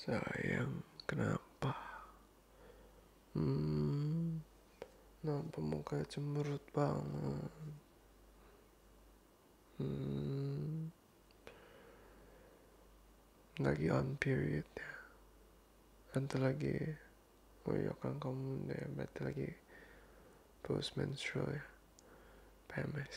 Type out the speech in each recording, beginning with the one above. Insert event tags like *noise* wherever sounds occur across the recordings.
Sayang, kenapa? Hmm, kenapa muka cemberut banget? Hmm, lagi on period ya? Nanti lagi, oh iya kan kamu deh. berarti lagi post menstrual ya? PMS.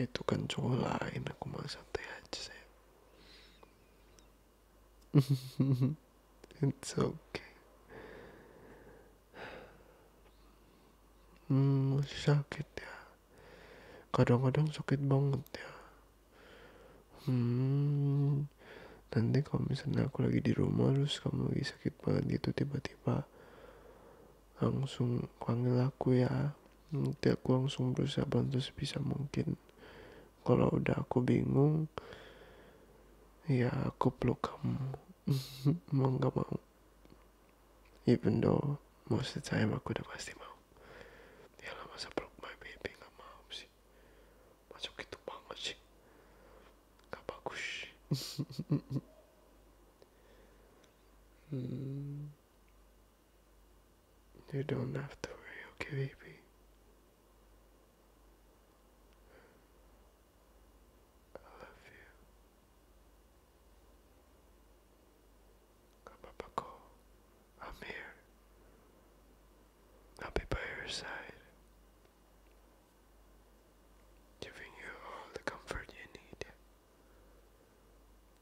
itu kan cowok lain aku mah santai aja saya *laughs* it's okay hmm sakit ya kadang-kadang sakit banget ya hmm nanti kalau misalnya aku lagi di rumah terus kamu lagi sakit banget gitu tiba-tiba langsung panggil aku ya nanti aku langsung berusaha bantu sebisa mungkin kalau udah aku bingung ya aku peluk kamu *laughs* mau nggak mau even though most of the time aku udah pasti mau ya lah masa peluk my baby nggak mau sih masuk itu banget sih nggak bagus *laughs* hmm. You don't have to worry, okay, baby? I love you. Come up, I'm here. I'll be by your side, giving you all the comfort you need.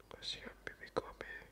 Cause you're baby Kobe.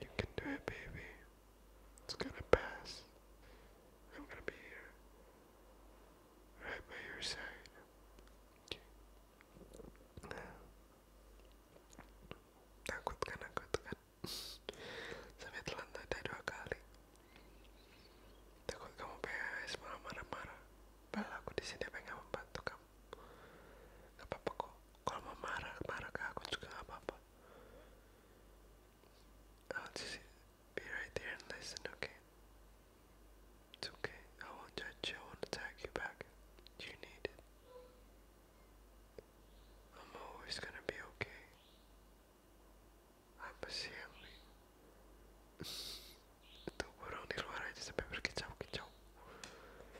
You can do it, baby. It's gonna pass. I'm gonna be Right by your side. Kan, kan? *laughs* Sampai dua kali Takut kamu pengen marah-marah Padahal aku di sini pengen membantu kamu apa-apa kok. Kalau mau marah, marah ke aku juga gak apa-apa. I'll just be right there and listen, okay? It's okay. I won't judge you. I won't attack you back. You need it. I'm always gonna be okay. Apa sih yang Itu burung di luar aja sampai berkicau-kicau.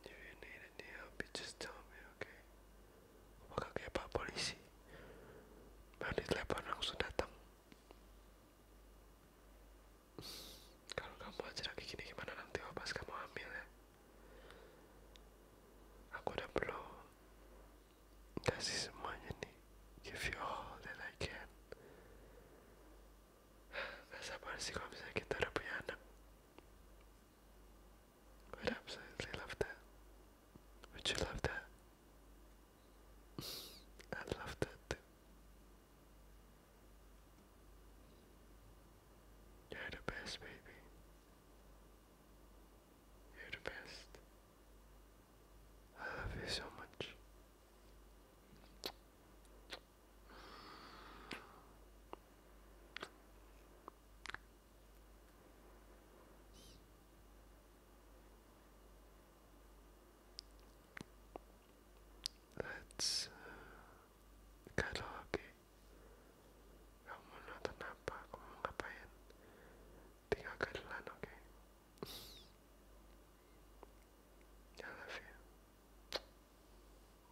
If you need any help, you just tell me, okay? Bakal kayak pak polisi. Baru ditelepon langsung datang. Kalau kamu aja lagi gini gimana nanti oh, pas kamu hamil ya? Aku udah perlu kasih semuanya nih. Give you all that I can. Gak sabar sih kalau misalnya kita udah punya anak. Would absolutely love that. Would you love that? *laughs* i love that You're the best, baby. You're the best. I love you so much. Let's kalau oke kamu nonton apa kamu ngapain tinggal kedelan oke okay? I